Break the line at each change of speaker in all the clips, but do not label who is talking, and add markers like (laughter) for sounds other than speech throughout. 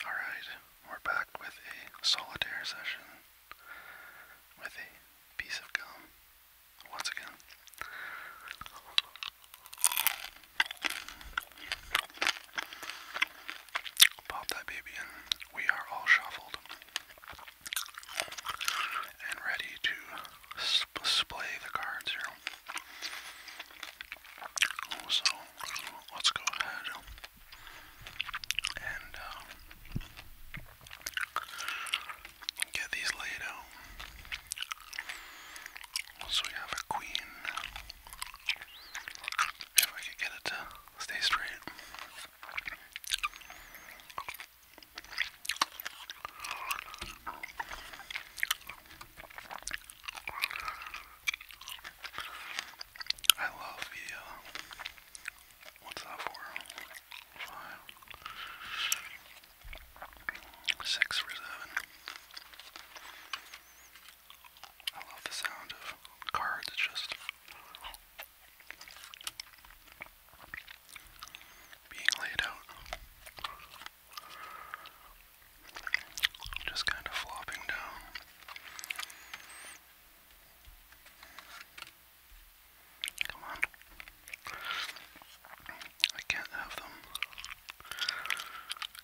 Alright, we're back with a solitaire session with a piece of gum once again. Pop that baby in. We are all shuffled and ready to display the cards here. So let's go ahead and um, get these laid out. So we have a queen. If I could get it to stay straight. I love the, uh, what's that for? Five, I love the sound of cards, just being laid out. Just kind of flopping down. Come on. I can't have them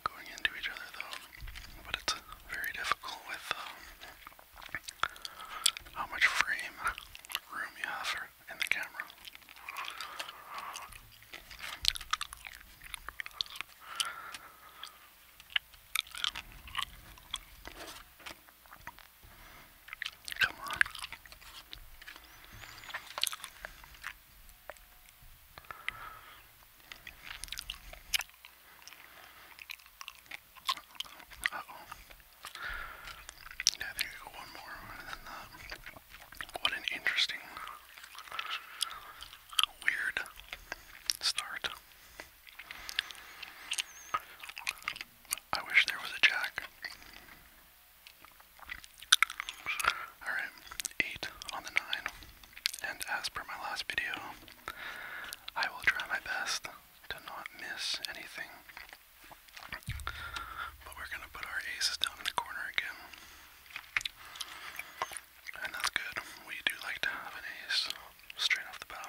going into each other though, but it's very difficult with um, how much frame room you have in the camera. Come on. Uh oh. Yeah, I think I go one more uh, What an interesting, weird start. I wish there was a jack. Alright, 8 on the 9. And as per my last video, I will try my best to not miss anything. But we're gonna put our aces down in the corner again. And that's good. We do like to have an ace straight off the bat.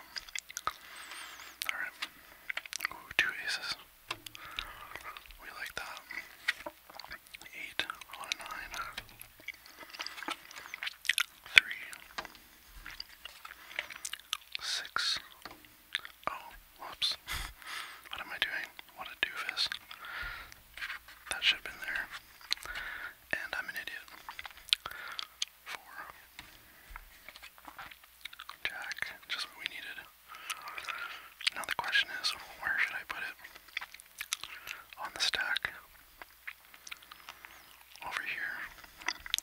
Alright. Ooh, two aces. We like that. Eight Oh, whoops. (laughs) What am I doing? What a doofus. That should have been there and I'm an idiot. Four. Jack, just what we needed. Now the question is, where should I put it? On the stack. Over here.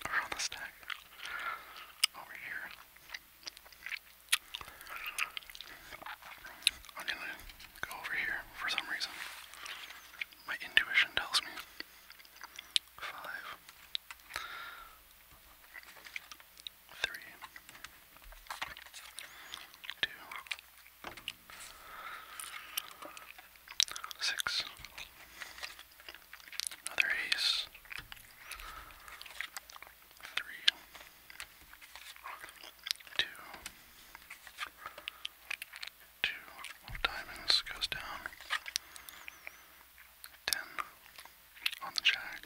Or on the stack. Over here. I'm go over here for some reason. My intuition tells me five, three, two, six, another ace, three, two, two of diamonds goes down. Ten on the jack,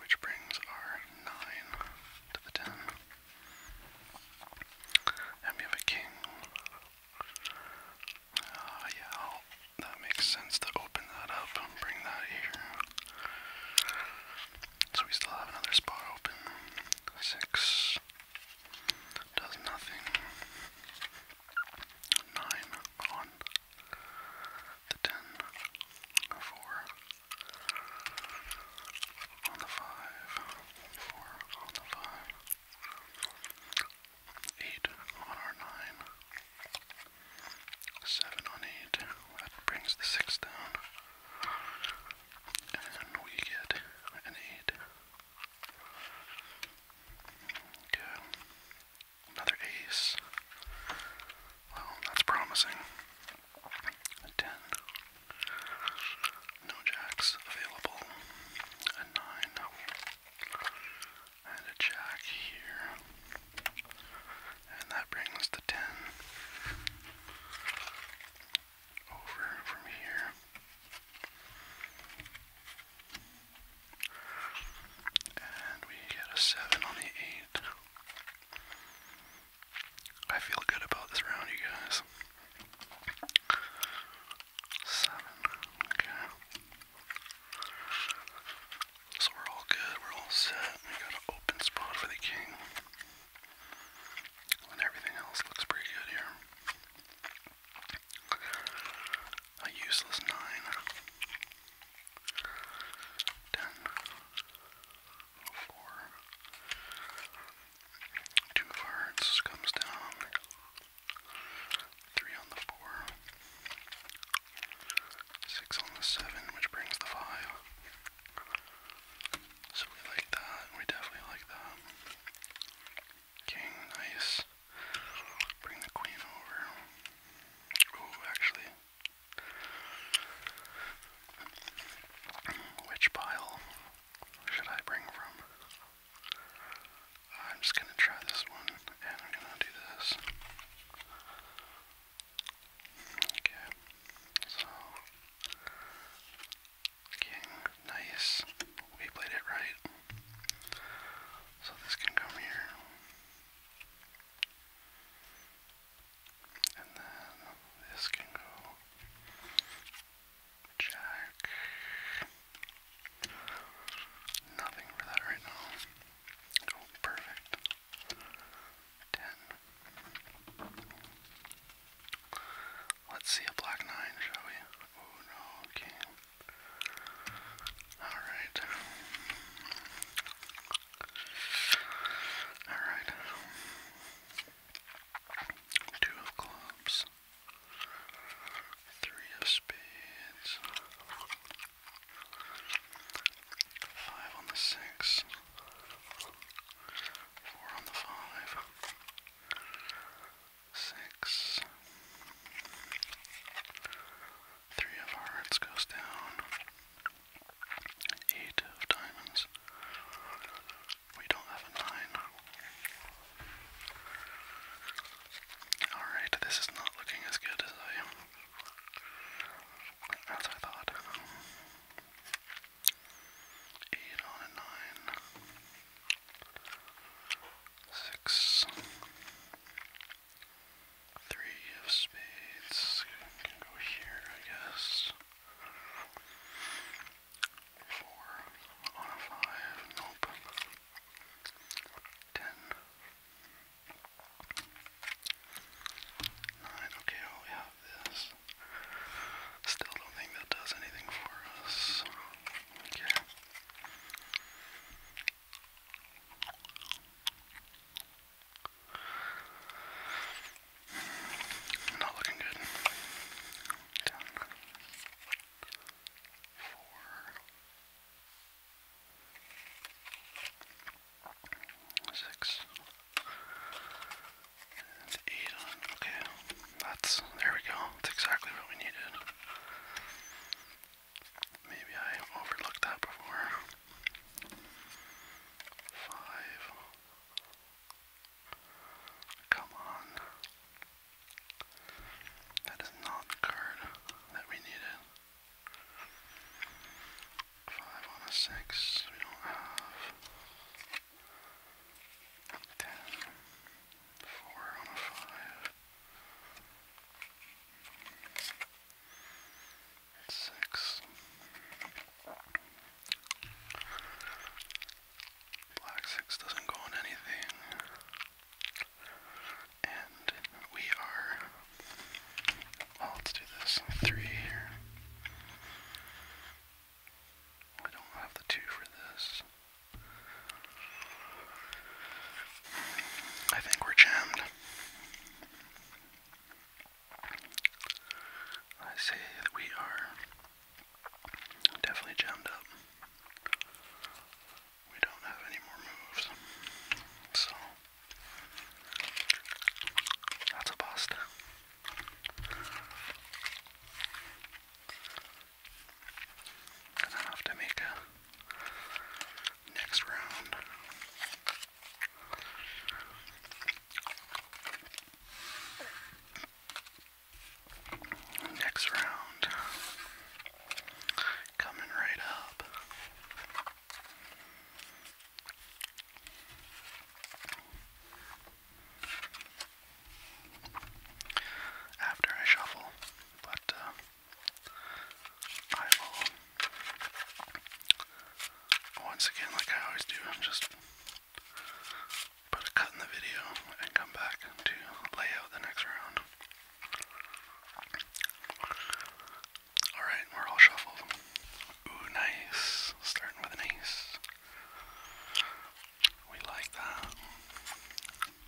which brings our nine to the ten. And we have a king. Ah, yeah, that makes sense to open that up and bring that here. So we still have another spot open. Six does nothing. Nine on the ten, four on the five, four on the five, eight on our nine, seven on eight. That brings the six down, and we get an eight. Okay. Another ace. Well, that's promising. A 10. No jacks available. A 9. And a jack here. And that brings the 10 over from here. And we get a 7 on the 8. I feel good about this round, you guys. 7. Okay. So we're all good, we're all set. We got an open spot for the king. And everything else looks pretty good here. A useless nine. Ten. Four. Two of comes down. Three on the four. Six on the seven, which brings the five. So we like that. We definitely like that. King, nice. Bring the queen over. Ooh, actually. Which pile should I bring from? I'm just gonna try this one, and I'm gonna do this. Okay, so King, nice. We played it right. So this can come here. And then this can go Jack. Nothing for that right now. Oh, perfect. Ten. Let's see a black nine, shall we? Oh no, okay. Alright. Alright. Two of clubs. Three of spades. Five on the six. Four on the five six. Three of hearts goes down. Eight of diamonds. We don't have a nine. Alright, this is not looking as good as I thought. Eight on nine. Six. Three of spades. Can go here, I guess. Four on a five. Nope. Ten. Okay, well, we have this. Still don't think that does anything for us. Okay. Not looking good. Down. Four. Six. Eight on. Okay that's, there we go. That's exactly what we needed. Maybe I overlooked that before. Five. Come on. That is not the card that we needed. Five on a six, we don't have. Ten. Four on a five. Six. Black six doesn't go on anything. And we are. Oh, let's do this. Three here. I don't have the two for this. I think we're jammed. I say that we are definitely jammed up. We don't have any more moves. So, that's a bust. Then i have to make a next round. Next round coming right up after I shuffle, but uh, I will, once again, like I always do, just put a cut in the video and come back to lay the next round. Alright, we're all shuffled. Ooh, nice. Starting with an ace. We like that.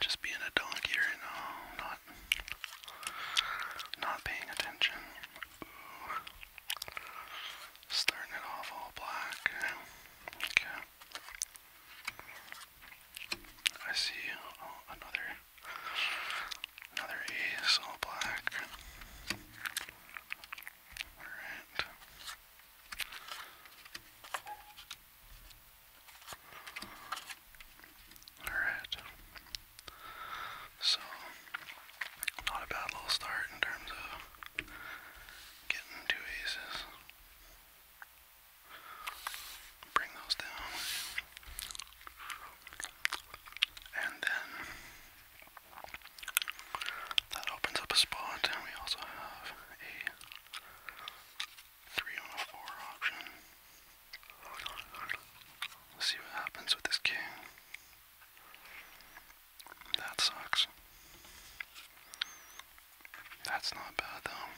just being a dog here now, not not paying attention. Starting it off all black. Okay. I see oh, another another ace all black. Alright. Alright. So, not a bad little start in terms of getting two aces. Bring those down. And then that opens up a spot, and we also have a three on a four option. see what happens with this king. That sucks. That's not bad though.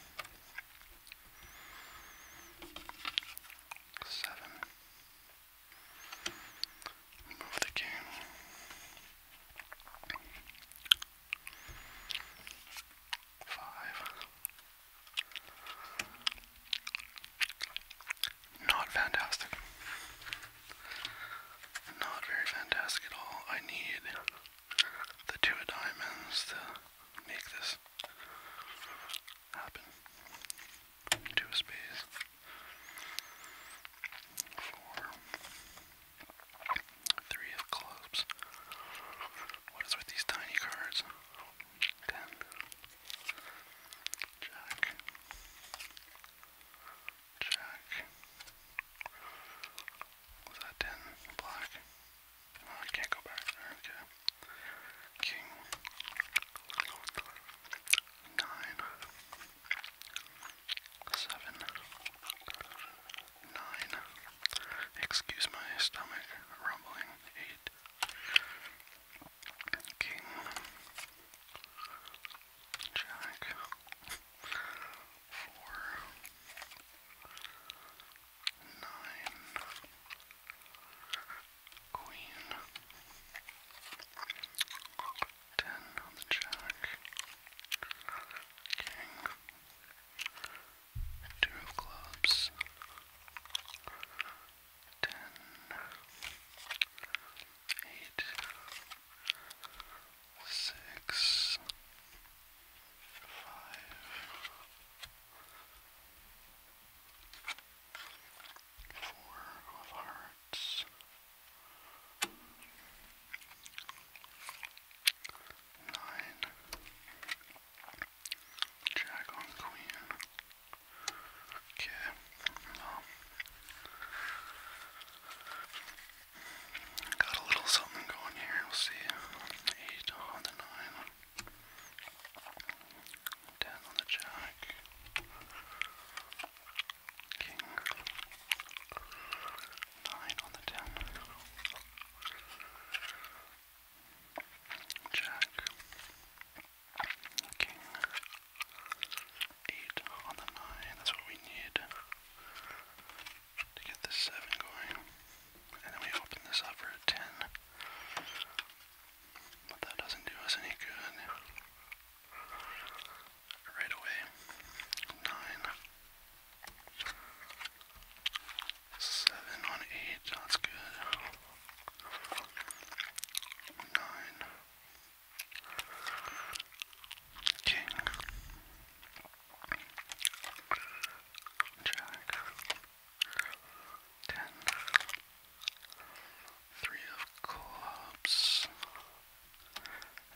Seven. Move the king. Five. Not fantastic. Not very fantastic at all. I need the two of diamonds to make this happen. Two of spades. Four. Three of clubs. What is with these tiny cards? Ten. Jack. Jack. Was that ten? Black. I can't go back Okay. King. Nine. Seven. Nine. Excuse my stomach rumbling. Eight it. King, Jack, four, nine, Queen, ten on the Jack, King, Two of clubs. Ten. Eight. Six. Five. Four of hearts. Nine Jack on queen. Okay, got a little something going here. We'll see. Eight on the nine, ten on the jack, king, nine on the ten. Jack, King, 8 on the 9, that's what we need to get this 7 going. And then we open this up for a 10. But that doesn't do us any good. Right away, 9. Seven on eight, that's good. Nine. King. Jack. Ten. Three of clubs.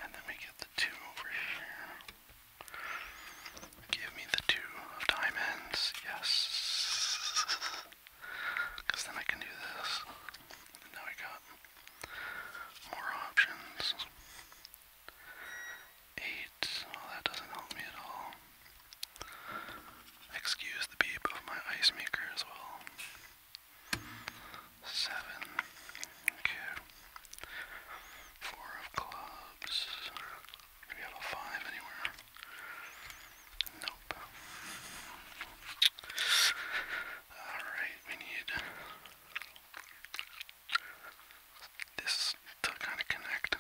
And then we get the two over here. Give me the two of diamonds. Yes. Because then I can do this. now I got more options. Eight. Well, oh, that doesn't help me at all. Excuse the beep of my ice maker as well. Seven. Okay. Four of clubs. Do we have a five anywhere? Nope. Alright, we need this to kind of connect.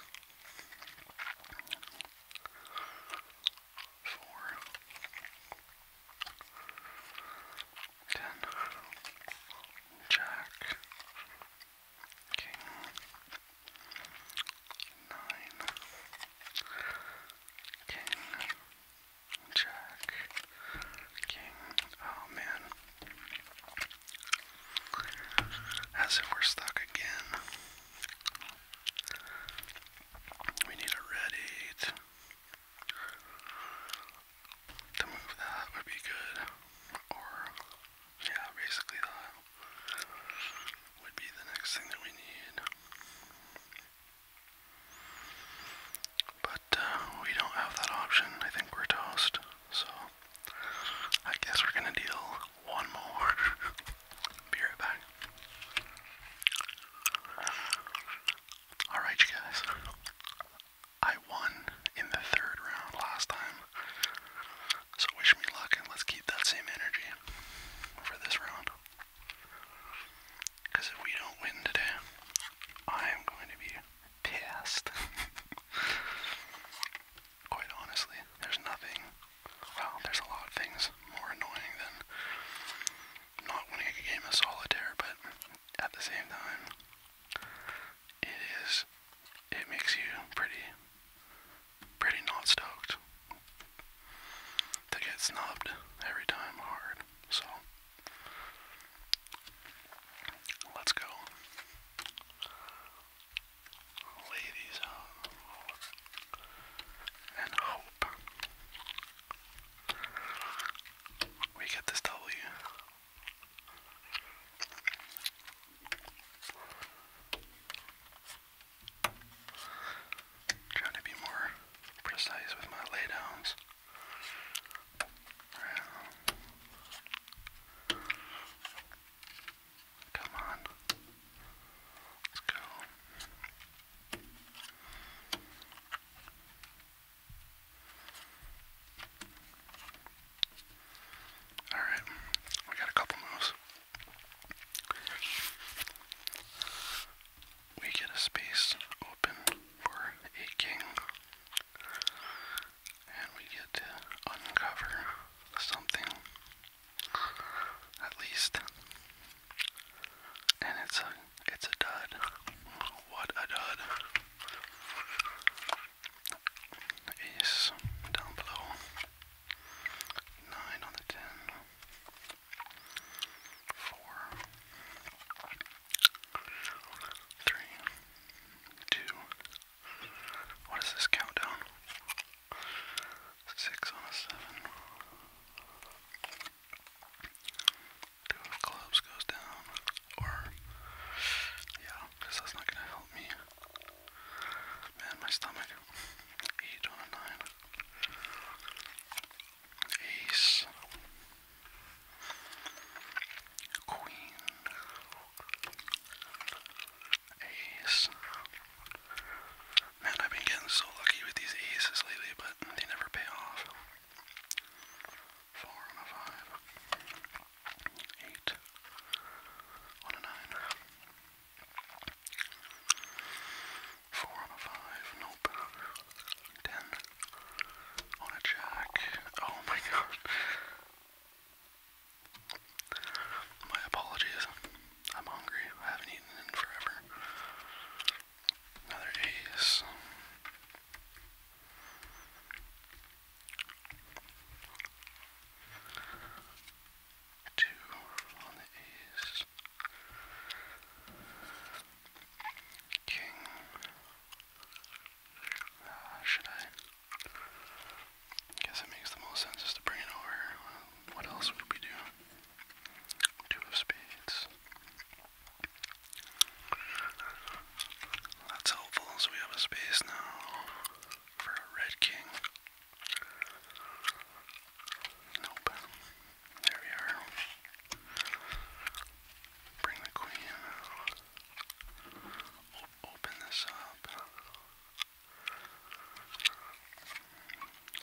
Four. Jack. King nine, king, jack, king. Oh man. As if we're stuck again. We need a red eight. To move that would be good. Or, yeah, basically that would be the next thing that we need. But uh, we don't have that option. I think we're toast. So I guess we're gonna deal one more. (laughs) be right back. Alright, you guys. I won in the third round last time. So wish me luck and let's keep that same energy for this round. Because if we don't win today, I am going to be pissed. (laughs) Quite honestly, there's nothing, well, there's a lot of things more annoying than not winning a game of solitaire, but at the same time, it is, it makes you pretty pretty not stoked. They get snubbed every time hard, so let's go. Lay these out and hope we get this W. Trying to be more precise with my laydowns. come on. Let's go. All right, we got a couple moves. We get a space open for a king, and we get to uncover something, at least. And it's a it's a dud. What a dud. Ace down below. Nine on the ten four, three, two. What is this countdown? Six on a seven. Two of clubs goes down, or yeah, because that's not gonna help me. Man, my stomach. Eight on a nine. Ace. Queen. Ace. Man, I've been getting so lucky with these aces lately, but they never pay off. Four on a five. Eight on a nine. Four on a five, nope. Ten on a jack. Oh my god. My apologies. I'm hungry. I haven't eaten in forever. Another ace two on the ace, king. should I? Guess it makes the most sense is to bring it over. what else would we do? Two of spades. That's helpful, so we have a space now for a red king. Nope. There we are. Bring the queen. open this up.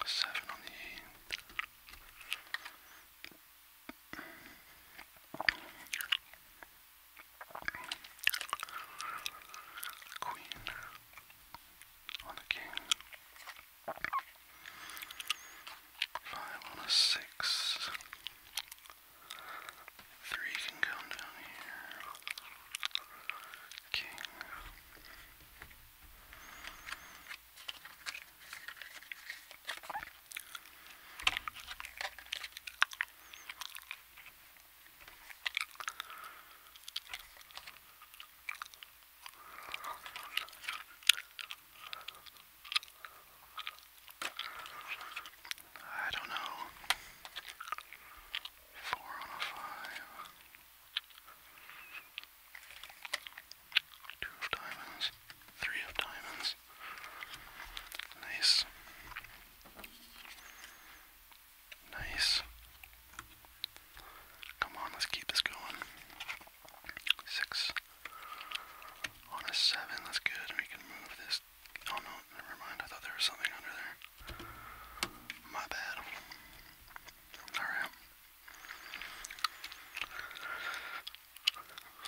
Seven on the eight. Queen on the king. Five on a six. Three can come down here. King. I don't know. Four on a five. Two of diamonds. Three of diamonds. Nice. Nice. Come on, let's keep this going. Six on a seven, that's good. we can move this. Oh no, never mind. I thought there was something under there. My bad. Alright.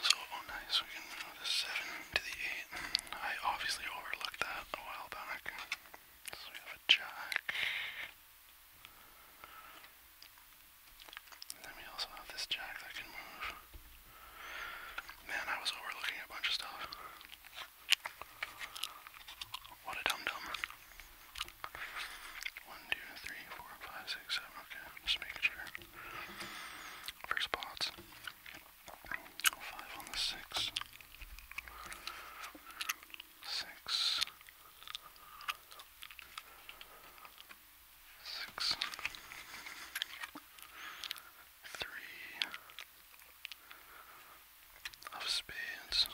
So, oh, nice, we can move the seven to the eight. I obviously overlooked that a while back. So we have a jack then we also have this jack that can move. Man, I was overlooking a bunch of stuff. What a dum dum. One, two, three, four, five, six, seven. Okay, just making sure. First spots. Five on the six six, six, three of spades,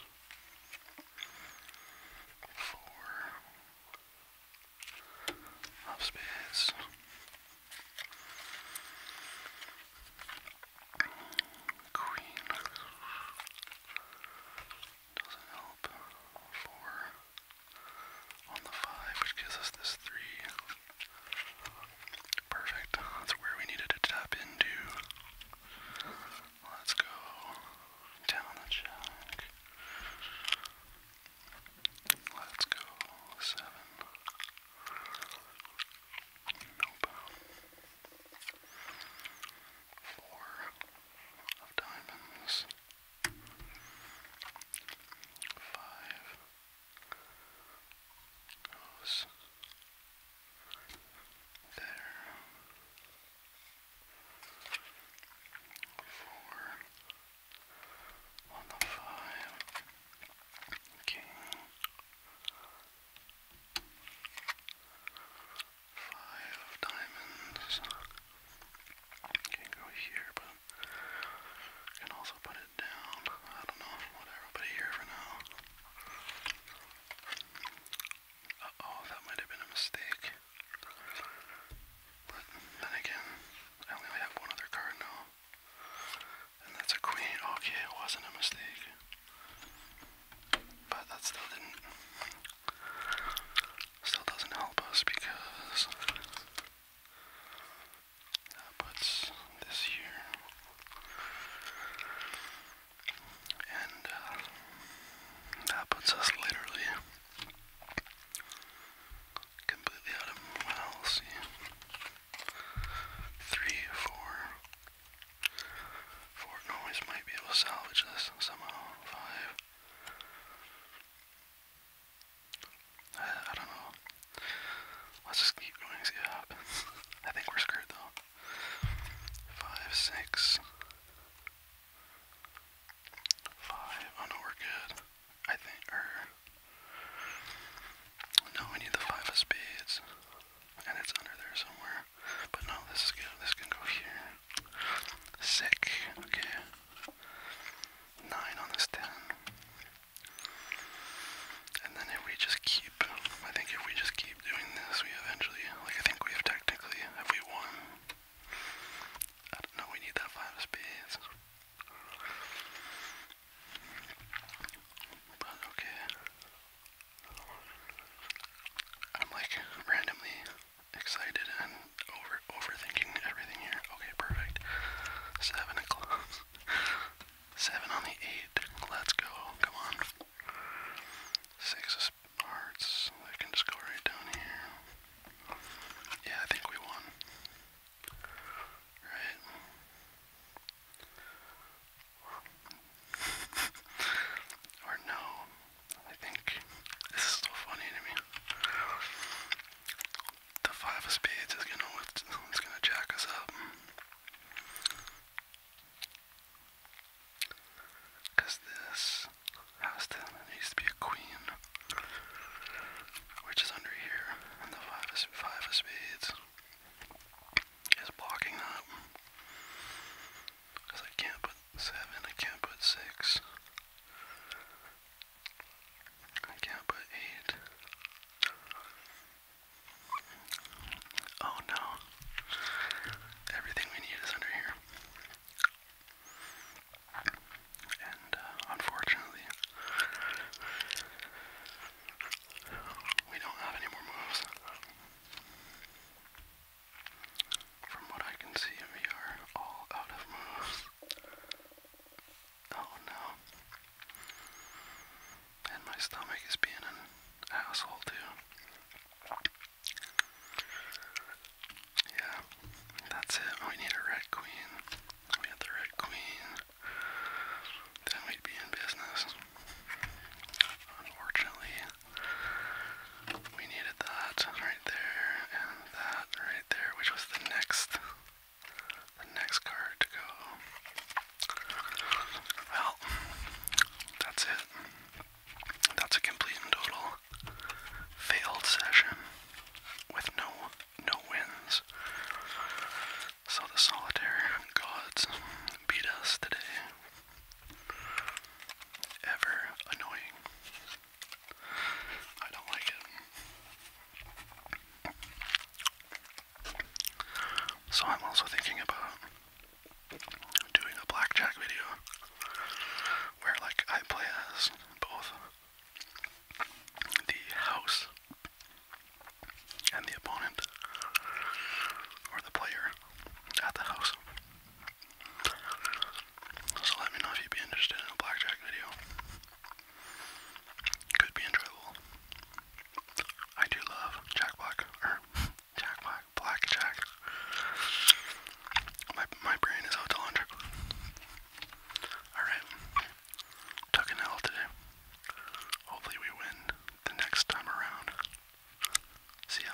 four of spades. Queen doesn't help. Four on the five, which gives us this three. Perfect. That's where we needed to tap into. Let's go down the jack. Let's go seven. Nope. Four of diamonds. Five goes there. Four on the five. King. Five diamonds. Can go here, but can also put it down. I don't know, whatever, but here for now. Uh oh, that might have been a mistake. But then again, I only have one other card now. And that's a queen. Okay, it wasn't a mistake but that still didn't still doesn't help us because that puts this here and uh, that puts us literally completely out of well three, four, Fort Noise might be able to salvage this somehow. Five. I, don't know. Let's just keep going and (laughs) I think we're screwed though. Five, six. Five. Oh no, we're good. I think, No, we need the five of spades. And it's under there somewhere. But no, this is good. This can go here. Sick. Okay. Nine on this ten. And then if we just keep, I think if we just keep doing this, we eventually, like I think we have technically, have we won? I we need that five of spades. But okay. I'm like randomly excited and over overthinking everything here. Okay, perfect. Seven o'clock. (laughs) Seven on the eight. Let's go. Come on. Six of hearts. I can just go right down here. Yeah, I think we won. Right. (laughs) or no. I think this is still funny to me. The five of spades is gonna it's gonna jack us up. this has needs to be a queen. Which is under here. And the five of five of spades is blocking that. I can't seven, I can't put six. I can't put eight. Oh no. Everything we need is under here. And uh, unfortunately, we don't have any more moves. From what I can see, we are all out of moves. Oh no. And my stomach is being an asshole too. Yeah, that's it. We need a red queen. We had the red queen. Then we'd be in business. Unfortunately, we needed that right there and that right there, which was the next the next card to go. Well, that's it. That's a complete and total failed session with no no wins. So the solitaire gods beat us today. Ever annoying. I don't like it. So I'm also thinking about doing a blackjack video where like I play as both the house and the opponent or the player at the house so let me know if you'd be interested in a blackjack video. Could be enjoyable. I do love Jack Black, or (laughs) Jack Black, Blackjack. My, my brain is out to Alright. Took an L today. Hopefully we win the next time around. See ya.